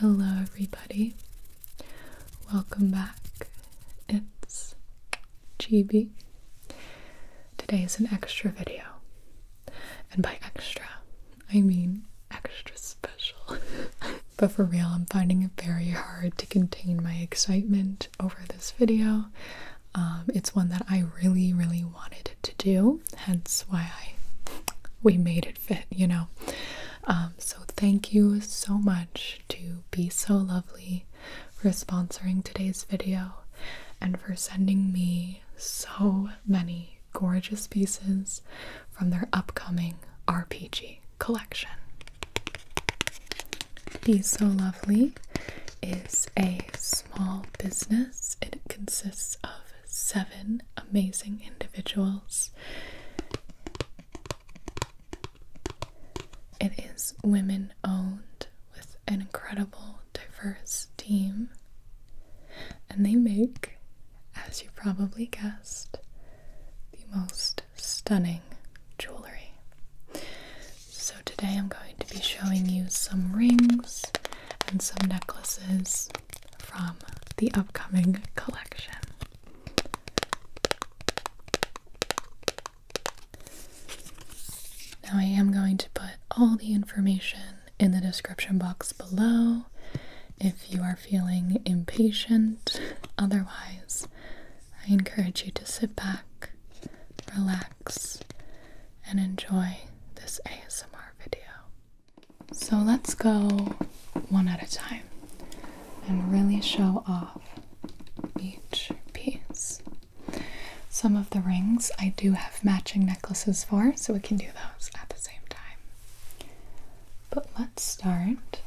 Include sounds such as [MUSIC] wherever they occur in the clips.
Hello, everybody. Welcome back. It's GB. Today is an extra video. And by extra, I mean extra special. [LAUGHS] but for real, I'm finding it very hard to contain my excitement over this video. Um, it's one that I really, really wanted to do, hence why I we made it fit, you know. Um, so thank you so much to Be So Lovely for sponsoring today's video and for sending me so many gorgeous pieces from their upcoming RPG collection. Be So Lovely is a small business. It consists of seven amazing individuals. It is women owned with an incredible, diverse team, and they make, as you probably guessed, the most stunning jewelry. So, today I'm going to be showing you some rings and some necklaces from the upcoming collection. Now, I am going to put all the information in the description box below if you are feeling impatient. Otherwise, I encourage you to sit back, relax, and enjoy this ASMR video. So let's go one at a time and really show off each piece. Some of the rings I do have matching necklaces for, so we can do those at the same time. But let's start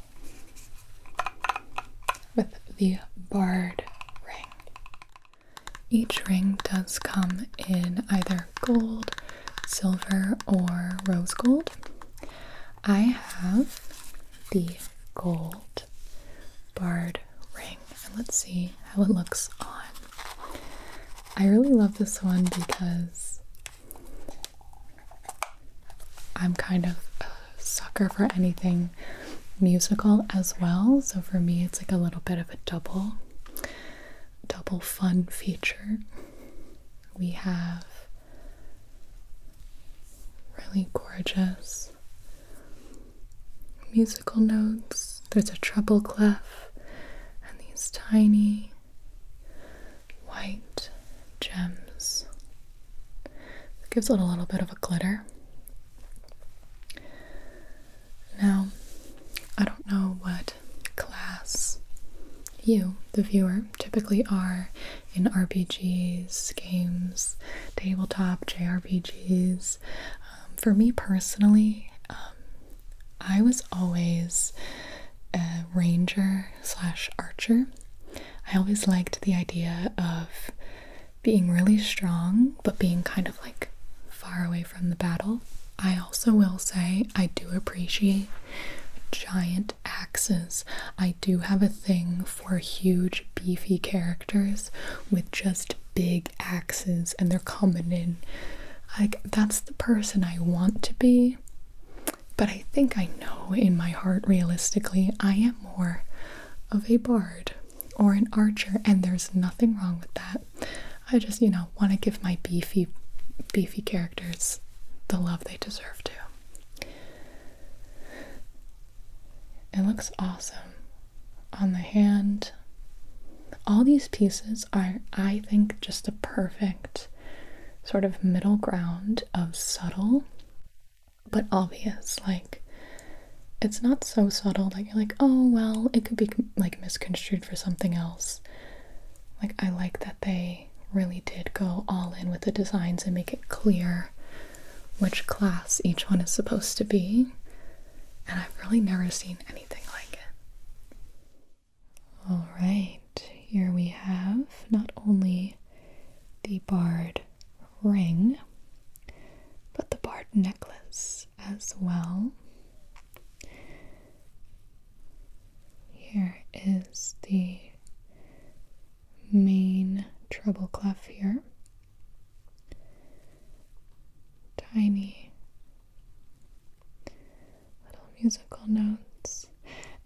with the barred ring. Each ring does come in either gold silver or rose gold. I have the gold barred ring, and let's see how it looks on. I really love this one because I'm kind of a sucker for anything musical as well, so for me, it's like a little bit of a double double fun feature. We have really gorgeous musical notes. There's a treble clef and these tiny white gems. gives it a little bit of a glitter. Now, I don't know what class. You, the viewer, typically are in RPGs, games, tabletop, JRPGs. Um, for me personally, um, I was always a ranger slash archer. I always liked the idea of being really strong, but being kind of like far away from the battle. I also will say I do appreciate giant axes. I do have a thing for huge, beefy characters with just big axes, and they're coming in. Like, that's the person I want to be. But I think I know in my heart, realistically, I am more of a bard or an archer, and there's nothing wrong with that. I just, you know, want to give my beefy, beefy characters the love they deserve to. It looks awesome on the hand. All these pieces are, I think, just the perfect sort of middle ground of subtle but obvious. Like, it's not so subtle that you're like, oh, well, it could be like misconstrued for something else like I like that they really did go all in with the designs and make it clear which class each one is supposed to be. And I've really never seen anything like it. All right, here we have not only the barred ring, but the barred necklace as well. Here is the main treble clef here. Tiny little musical notes.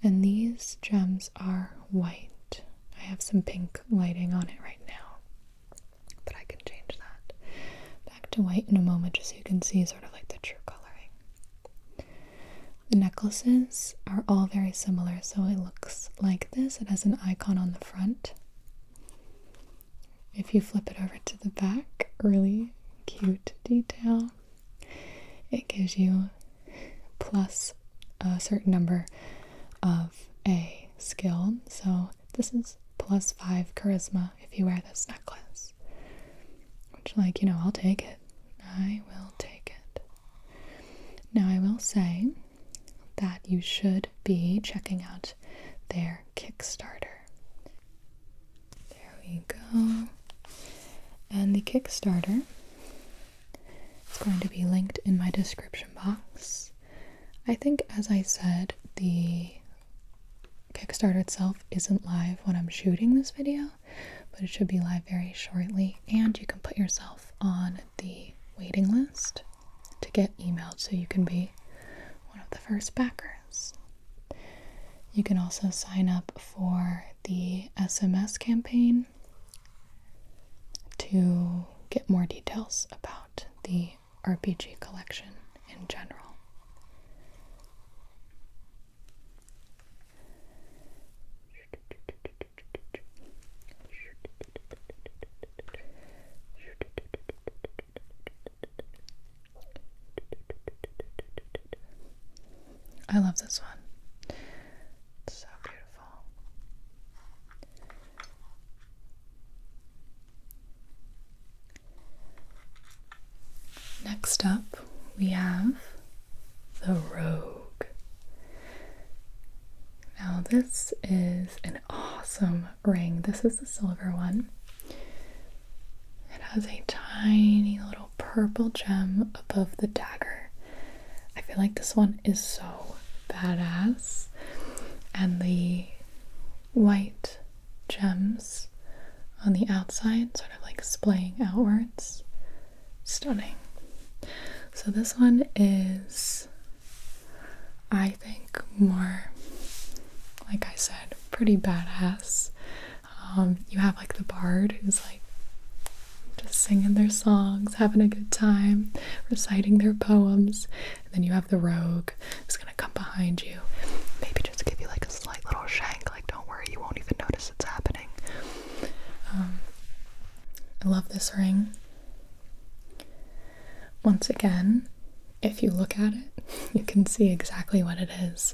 And these gems are white. I have some pink lighting on it right now, but I can change that back to white in a moment just so you can see sort of like the true coloring. The necklaces are all very similar, so it looks like this. It has an icon on the front. If you flip it over to the back, really cute detail. It gives you plus a certain number of a skill. So this is plus five charisma if you wear this necklace. Which, like, you know, I'll take it. I will take it. Now, I will say that you should be checking out their Kickstarter. There we go. And the Kickstarter is going to be linked in my description box. I think, as I said, the Kickstarter itself isn't live when I'm shooting this video, but it should be live very shortly. And you can put yourself on the waiting list to get emailed so you can be one of the first backers. You can also sign up for the SMS campaign to get more details about the RPG collection in general. I love this one. so beautiful. Next up, we have the Rogue. Now, this is an awesome ring. This is the silver one. It has a tiny little purple gem above the dagger. I feel like this one is so badass. And the white gems on the outside, sort of like splaying outwards. Stunning. So, this one is, I think, more like I said, pretty badass. Um, you have like the bard who's like just singing their songs, having a good time, reciting their poems. And then you have the rogue who's gonna come behind you, maybe just give you like a slight little shank, like, don't worry, you won't even notice it's happening. Um, I love this ring. Once again, if you look at it, [LAUGHS] you can see exactly what it is.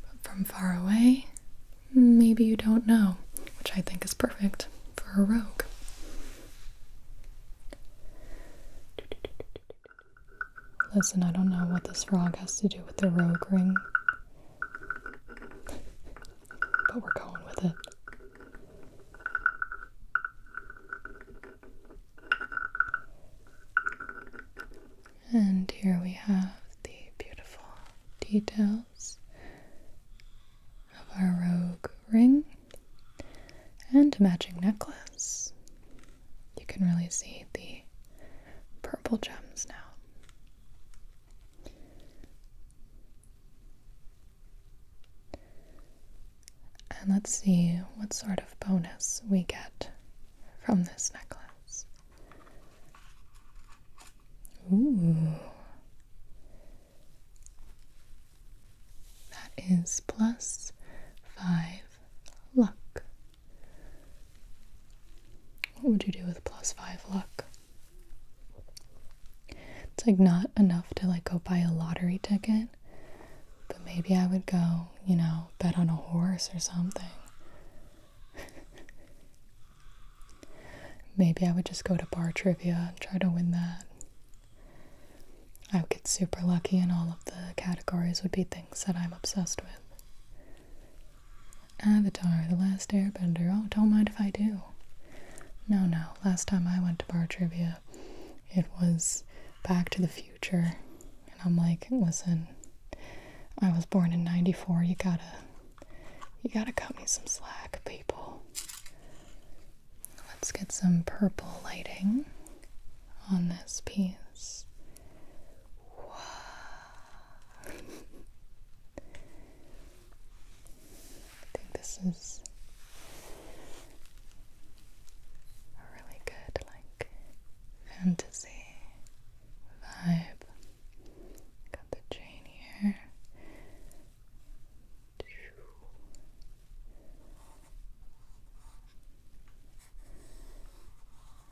But from far away, maybe you don't know, which I think is perfect for a rogue. Listen, I don't know what this frog has to do with the rogue ring. but we're going with it. And here we have the beautiful details of our rogue ring and matching necklace you can really see the purple gems now. And let's see what sort of bonus we get from this necklace. Ooh. That is plus five luck. What would you do with plus five luck? It's like not enough to like go buy a lottery ticket, but maybe I would go, you know, bet on a horse or something. maybe I would just go to bar trivia and try to win that. I would get super lucky, and all of the categories would be things that I'm obsessed with. Avatar, The Last Airbender. Oh, don't mind if I do. No, no. Last time I went to bar trivia, it was Back to the Future. And I'm like, listen, I was born in 94. You gotta, you gotta cut me some slack, people. Let's get some purple lighting on this piece. Wow. I think this is a really good, like, fantasy vibe. Got the chain here.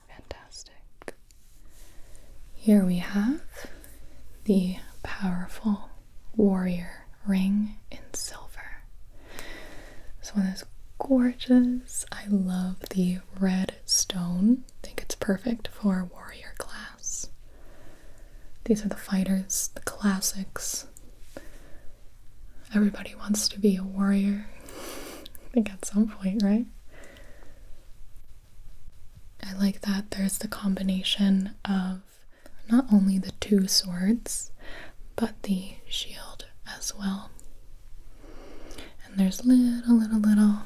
Fantastic. Here we have the powerful warrior ring in silver. This one is gorgeous. I love the red stone. I think it's perfect for warrior class. These are the fighters, the classics. Everybody wants to be a warrior. [LAUGHS] I think at some point, right? I like that there's the combination of not only the two swords, but the shield as well. And there's little, little, little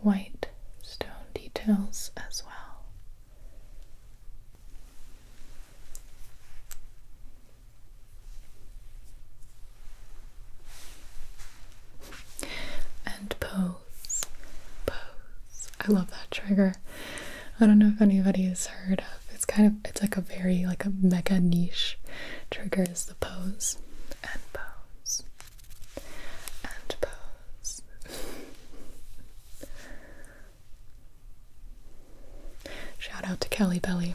white stone details as well. And pose. Pose. I love that trigger. I don't know if anybody has heard of it's kind of it's like a very like a mega niche trigger is the pose and pose and pose. Shout out to Kelly Belly.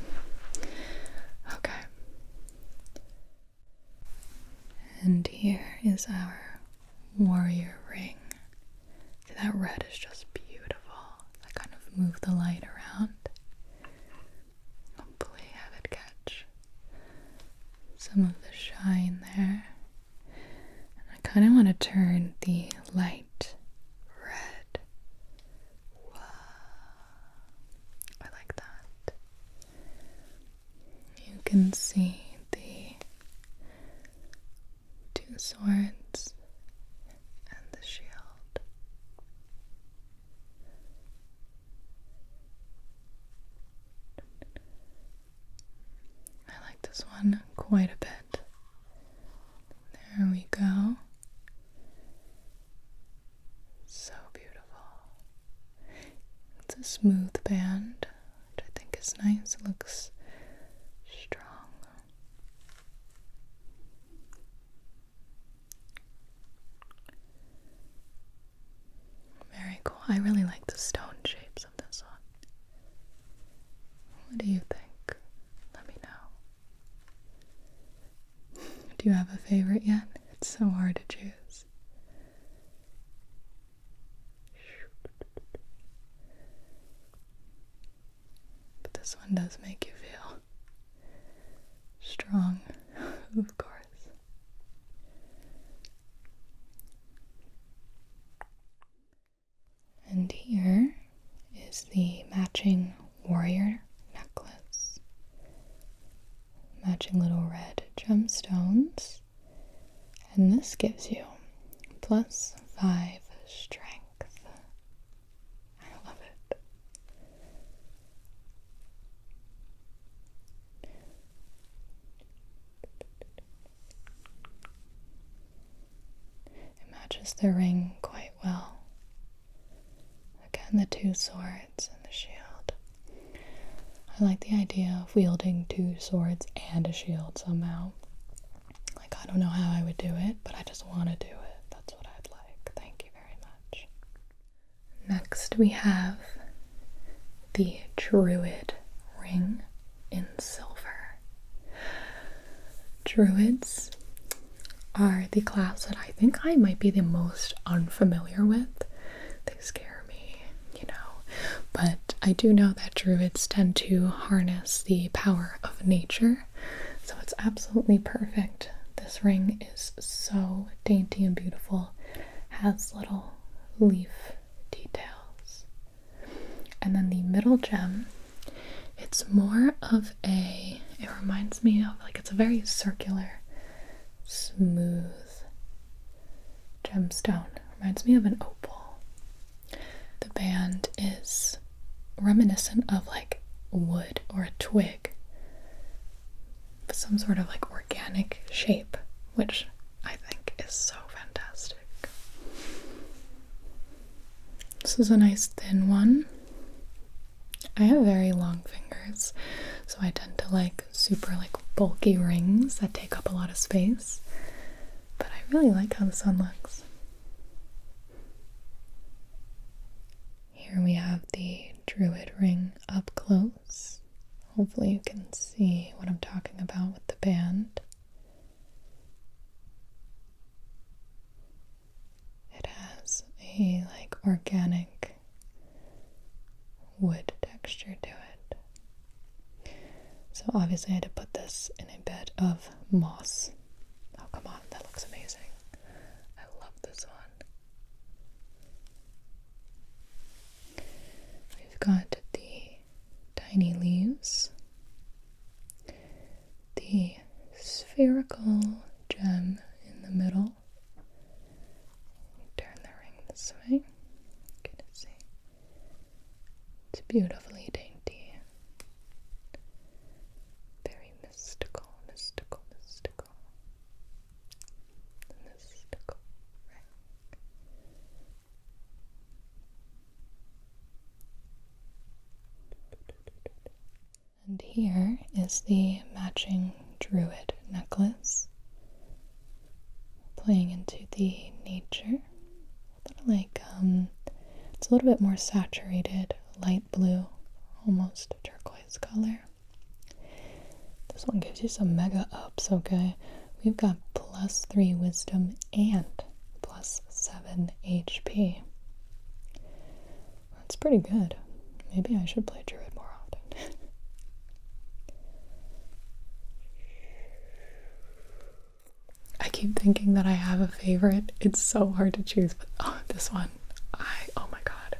Okay. And here is our warrior ring. that red is just beautiful. I kind of move the light around. Hopefully, have it catch some of the shine there. I kind of want to turn the light red. I like that. You can see the two swords and the shield. I like this one quite a bit. There we go. So beautiful. It's a smooth band, which I think is nice. It looks strong. Very cool. I really like the stone shapes of this one. What do you think? Let me know. Do you have a favorite yet? It's so hard to choose. But this one does make you feel strong, [LAUGHS] of course. And here is the matching warrior necklace. Matching little red gemstones. And this gives you plus five strength. I love it. It matches the ring quite well. Again, the two swords and the shield. I like the idea of wielding two swords and a shield somehow. Like, I don't know how I would do it, but I just want to do it. That's what I'd like. Thank you very much. Next, we have the Druid ring in silver. Druids are the class that I think I might be the most unfamiliar with. They scare me, you know. But I do know that druids tend to harness the power of nature, so it's absolutely perfect. This ring is so dainty and beautiful, has little leaf details. And then the middle gem, it's more of a, it reminds me of like it's a very circular, smooth gemstone. Reminds me of an opal. The band is reminiscent of like wood or a twig, some sort of like organic shape, which I think is so fantastic. This is a nice thin one. I have very long fingers, so I tend to like super like bulky rings that take up a lot of space. But I really like how the sun looks. Here we have the druid ring up close. Hopefully, you can see what I'm talking about with the band. It has a like organic wood texture to it. So obviously I had to put this in a bed of moss. Oh come on, that looks amazing. I love this one. We've got the tiny leaves, the spherical gem in the middle. Turn the ring this way. Good to see. It's beautifully dainty. Very mystical, mystical, mystical. mystical ring. And here is the matching druid necklace, playing into the nature, but like um, it's a little bit more saturated, light blue, almost turquoise color. This one gives you some mega ups, okay? We've got plus three wisdom and plus seven HP. That's pretty good. Maybe I should play Druid more often. [LAUGHS] I keep thinking that I have a favorite. It's so hard to choose, but oh, this one. I oh my god.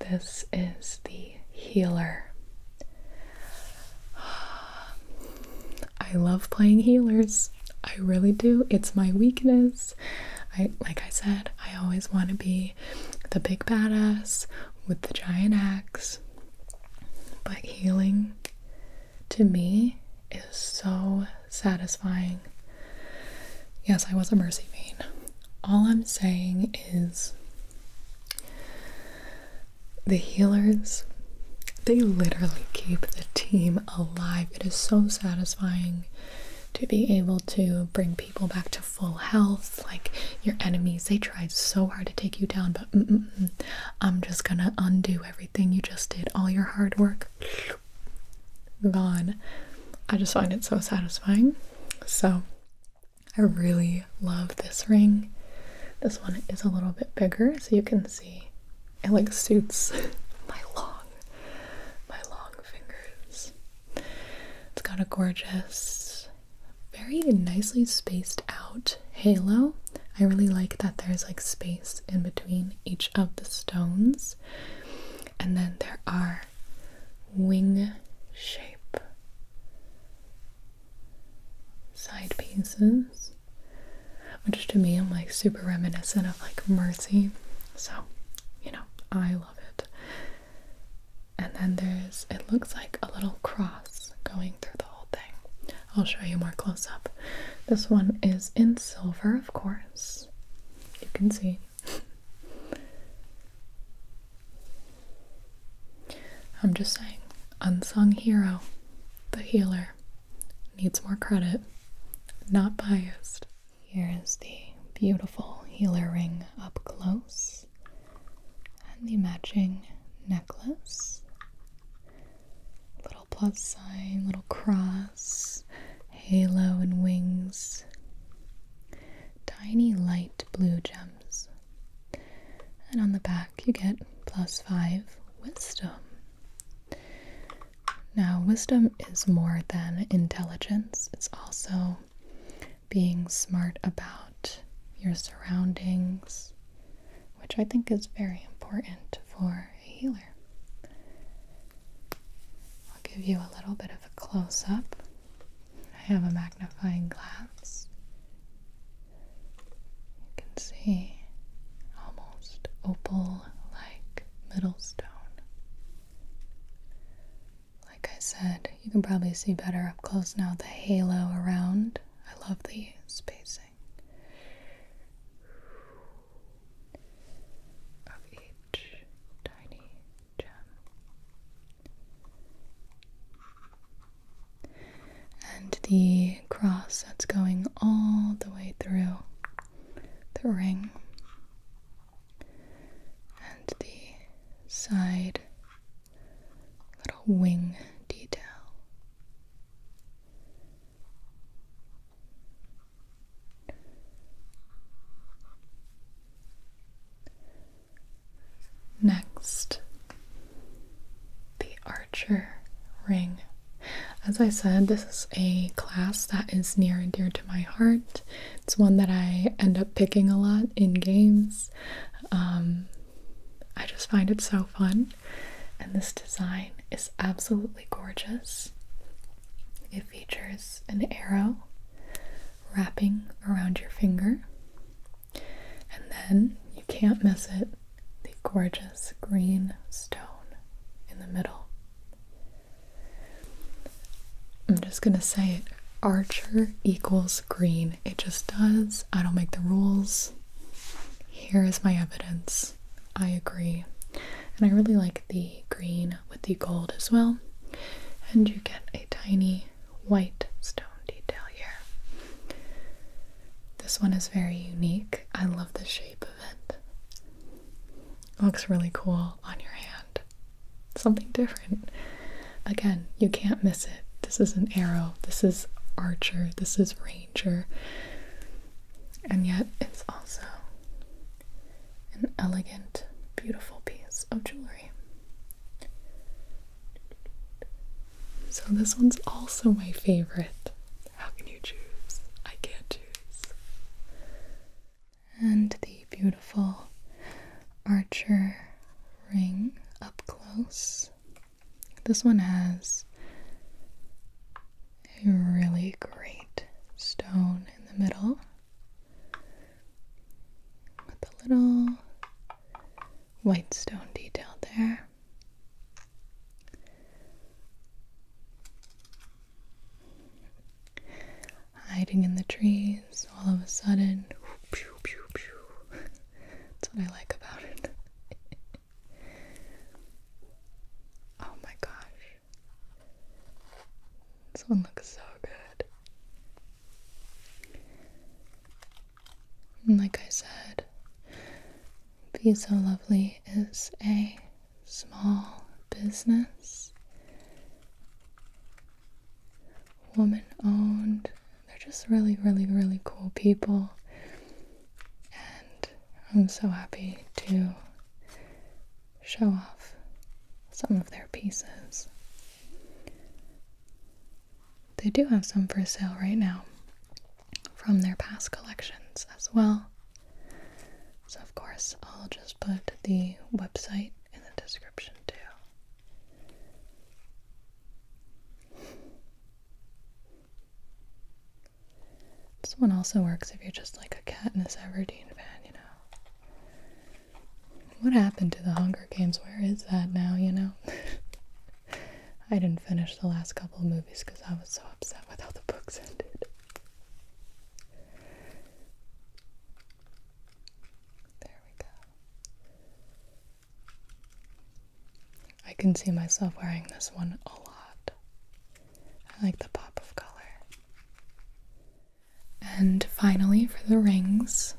This is the healer. [SIGHS] I love playing healers. I really do. It's my weakness. I like I said, I always want to be the big badass with the giant axe. But healing to me is so satisfying. Yes, I was a mercy bean. All I'm saying is the healers they literally keep the team alive. It is so satisfying to be able to bring people back to full health. Like your enemies, they tried so hard to take you down, but I'm just gonna undo everything you just did, all your hard work gone. I just find it so satisfying. So I really love this ring. This one is a little bit bigger, so you can see it like suits [LAUGHS] my long, my long fingers. It's got a gorgeous, very nicely spaced out halo. I really like that there's like space in between each of the stones. And then there are wing shape side pieces, which to me I'm like super reminiscent of like Mercy. So, you know, I love it. And then there's, it looks like a little cross going through the whole thing. I'll show you more close up. This one is in silver, of course. You can see. [LAUGHS] I'm just saying, unsung hero, the healer, needs more credit. Not biased. Here is the beautiful healer ring up close and the matching necklace. Little plus sign, little cross, halo and wings. Tiny light blue gems. And on the back, you get plus five wisdom. Now, wisdom is more than intelligence, it's also being smart about your surroundings, which I think is very important for a healer. I'll give you a little bit of a close up. I have a magnifying glass. You can see almost opal like middle stone. Like I said, you can probably see better up close now the halo around. I love the spacing of each tiny gem. And the cross that's going all the way through the ring and the side little wing detail. Next, the archer ring. As I said, this is a class that is near and dear to my heart. It's one that I end up picking a lot in games. Um, I just find it so fun, and this design is absolutely gorgeous. It features an arrow wrapping around your finger, and then you can't miss it the gorgeous green stone in the middle. I'm just gonna say it. Archer equals green. It just does. I don't make the rules. Here is my evidence. I agree. And I really like the green with the gold as well. And you get a tiny white stone detail here. This one is very unique. I love the shape of it looks really cool on your hand. Something different. Again, you can't miss it. This is an arrow, this is archer, this is ranger. And yet, it's also an elegant, beautiful piece of jewelry. So, this one's also my favorite. How can you choose? I can't choose and the beautiful Archer ring up close. This one has a really great stone in the middle with a little white stone detail there hiding in the trees all of a sudden. That's what I like about it. [LAUGHS] oh my gosh. This one looks so good. like I said, Be So Lovely is a small business woman owned. They're just really, really, really cool people. And I'm so happy to show off some of their pieces. They do have some for sale right now from their past collections as well. So, of course, I'll just put the website in the description too. this one also works if you're just like a Cat in the Everdeen fan, you know. What happened to the Hunger Games? Where is that now, you know? [LAUGHS] I didn't finish the last couple of movies because I was so upset with how the books [LAUGHS] ended. There we go. I can see myself wearing this one a lot. I like the pop of color. And finally, for the rings,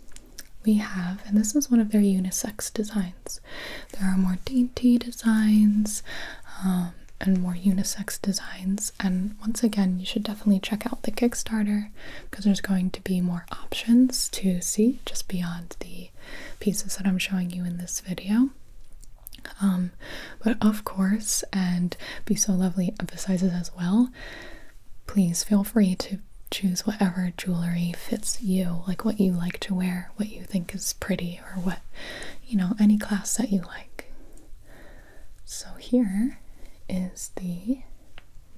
we have, and this is one of their unisex designs. There are more dainty designs um, and more unisex designs, and once again, you should definitely check out the Kickstarter because there's going to be more options to see just beyond the pieces that I'm showing you in this video. Um, but of course, and Be So Lovely emphasizes as well, please feel free to choose whatever jewelry fits you, like what you like to wear, what you think is pretty, or what, you know, any class that you like. So here is the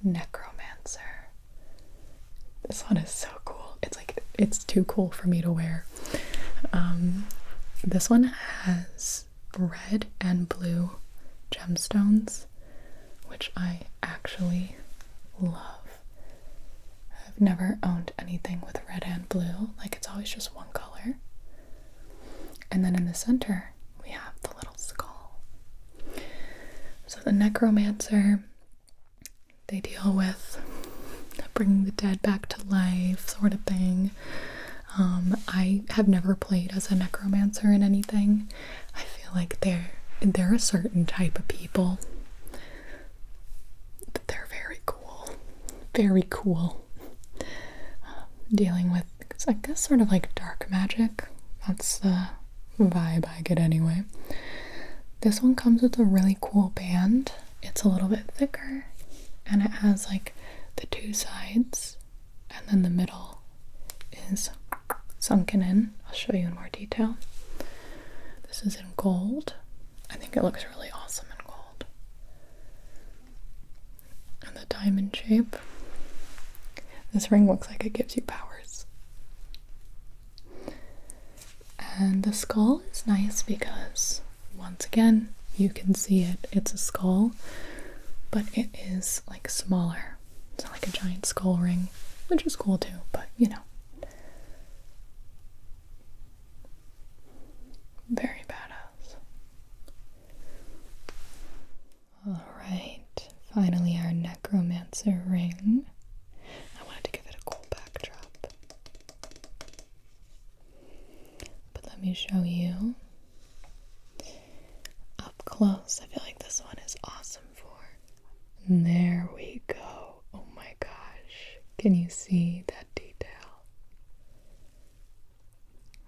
necromancer. This one is so cool. It's like it's too cool for me to wear. Um, this one has red and blue gemstones, which I actually love. I've never owned anything with red and blue, like it's always just one color. And then in the center, we have the little skull. So the necromancer, they deal with bringing the dead back to life, sort of thing. Um, I have never played as a necromancer in anything. I feel like they're they're a certain type of people. They're very cool, very cool. Um, dealing with it's, I guess, sort of like dark magic. That's the vibe I get anyway. This one comes with a really cool band. It's a little bit thicker and it has like the two sides and then the middle is sunken in. I'll show you in more detail. This is in gold. I think it looks really awesome in gold and the diamond shape. This ring looks like it gives you powers. And the skull is nice because, once again, you can see it. It's a skull, but it is like smaller. It's not like a giant skull ring, which is cool too, but you know. Very badass. Alright, finally our necromancer ring. I wanted to give it a cool backdrop. But let me show you up close. I feel like this one is awesome for. And there we go. Oh my gosh. Can you see that detail?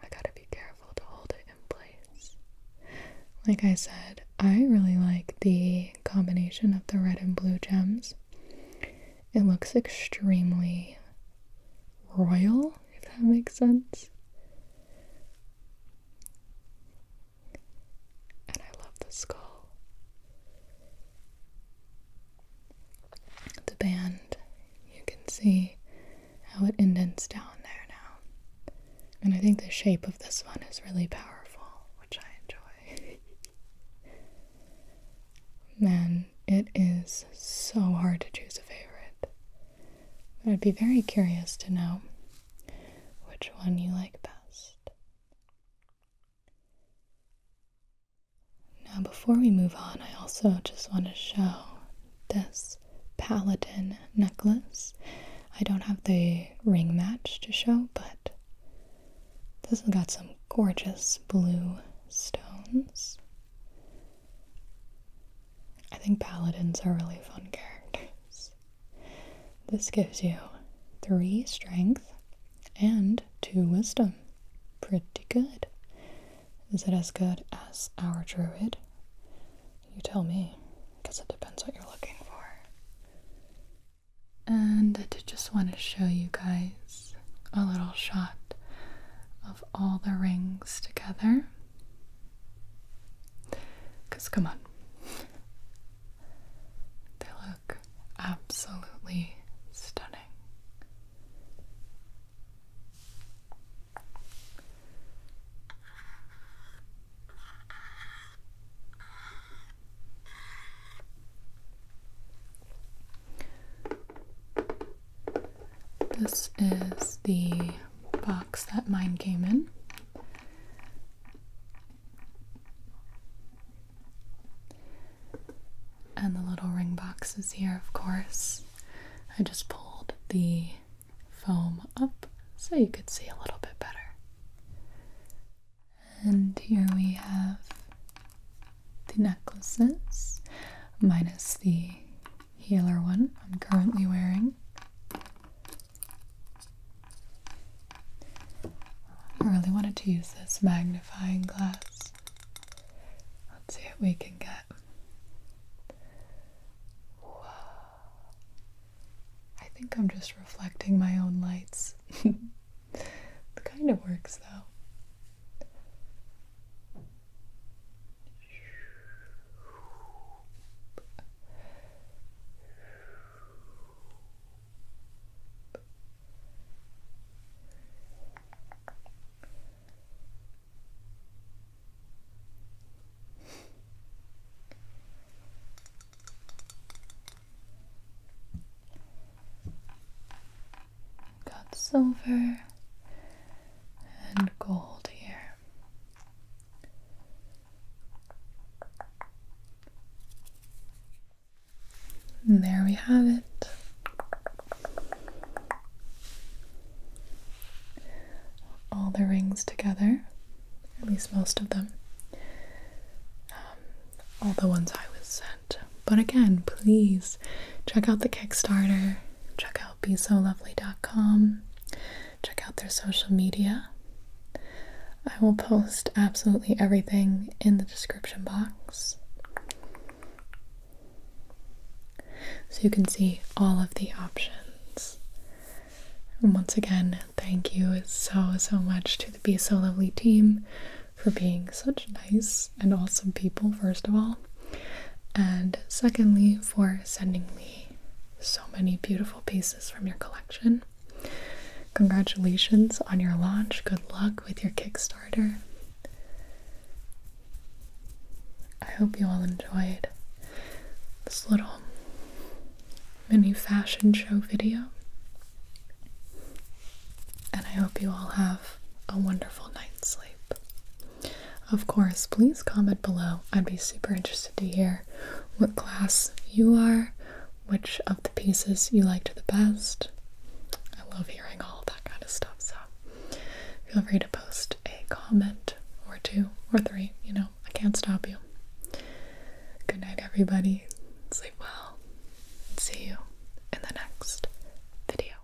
I gotta be careful to hold it in place. Like I said, I really like the combination of the red and blue gems. It looks extremely royal, if that makes sense. And I love the skull. The band, you can see how it indents down there now. And I think the shape of this one is really powerful, which I enjoy. [LAUGHS] Man, it is so hard to choose a favorite. But I'd be very curious to know which one you like best. Now, before we move on, I also just want to show this paladin necklace. I don't have the ring match to show, but this has got some gorgeous blue stones. I think paladins are really fun characters. This gives you three strength and two wisdom. Pretty good. Is it as good as our druid? You tell me, because it depends what you're looking for. And I did just want to show you guys a little shot of all the rings together. Because, come on, they look absolutely stunning. This is the box that mine came in. And the little ring boxes here, of course. I just pulled the foam up so you could see a little bit better. And here we have the necklaces, minus the healer one I'm currently wearing. I really wanted to use this magnifying glass. Let's see what we can get I think I'm just reflecting my own lights. [LAUGHS] it kind of works though. Got silver and gold here. And there we have it all the rings together, at least most of them. Um, all the ones I was sent. But again, please check out the Kickstarter, check out BeSoLovely.com, check out their social media. I will post absolutely everything in the description box. So you can see all of the options. And once again, thank you so, so much to the Be So Lovely team for being such nice and awesome people, first of all. And secondly, for sending me so many beautiful pieces from your collection. Congratulations on your launch. Good luck with your Kickstarter. I hope you all enjoyed this little mini fashion show video. And I hope you all have a wonderful night's sleep. Of course, please comment below. I'd be super interested to hear what class you are, which of the pieces you liked the best. I love hearing all that kind of stuff, so feel free to post a comment or two or three, you know, I can't stop you. Good night, everybody. Sleep well. See you in the next video.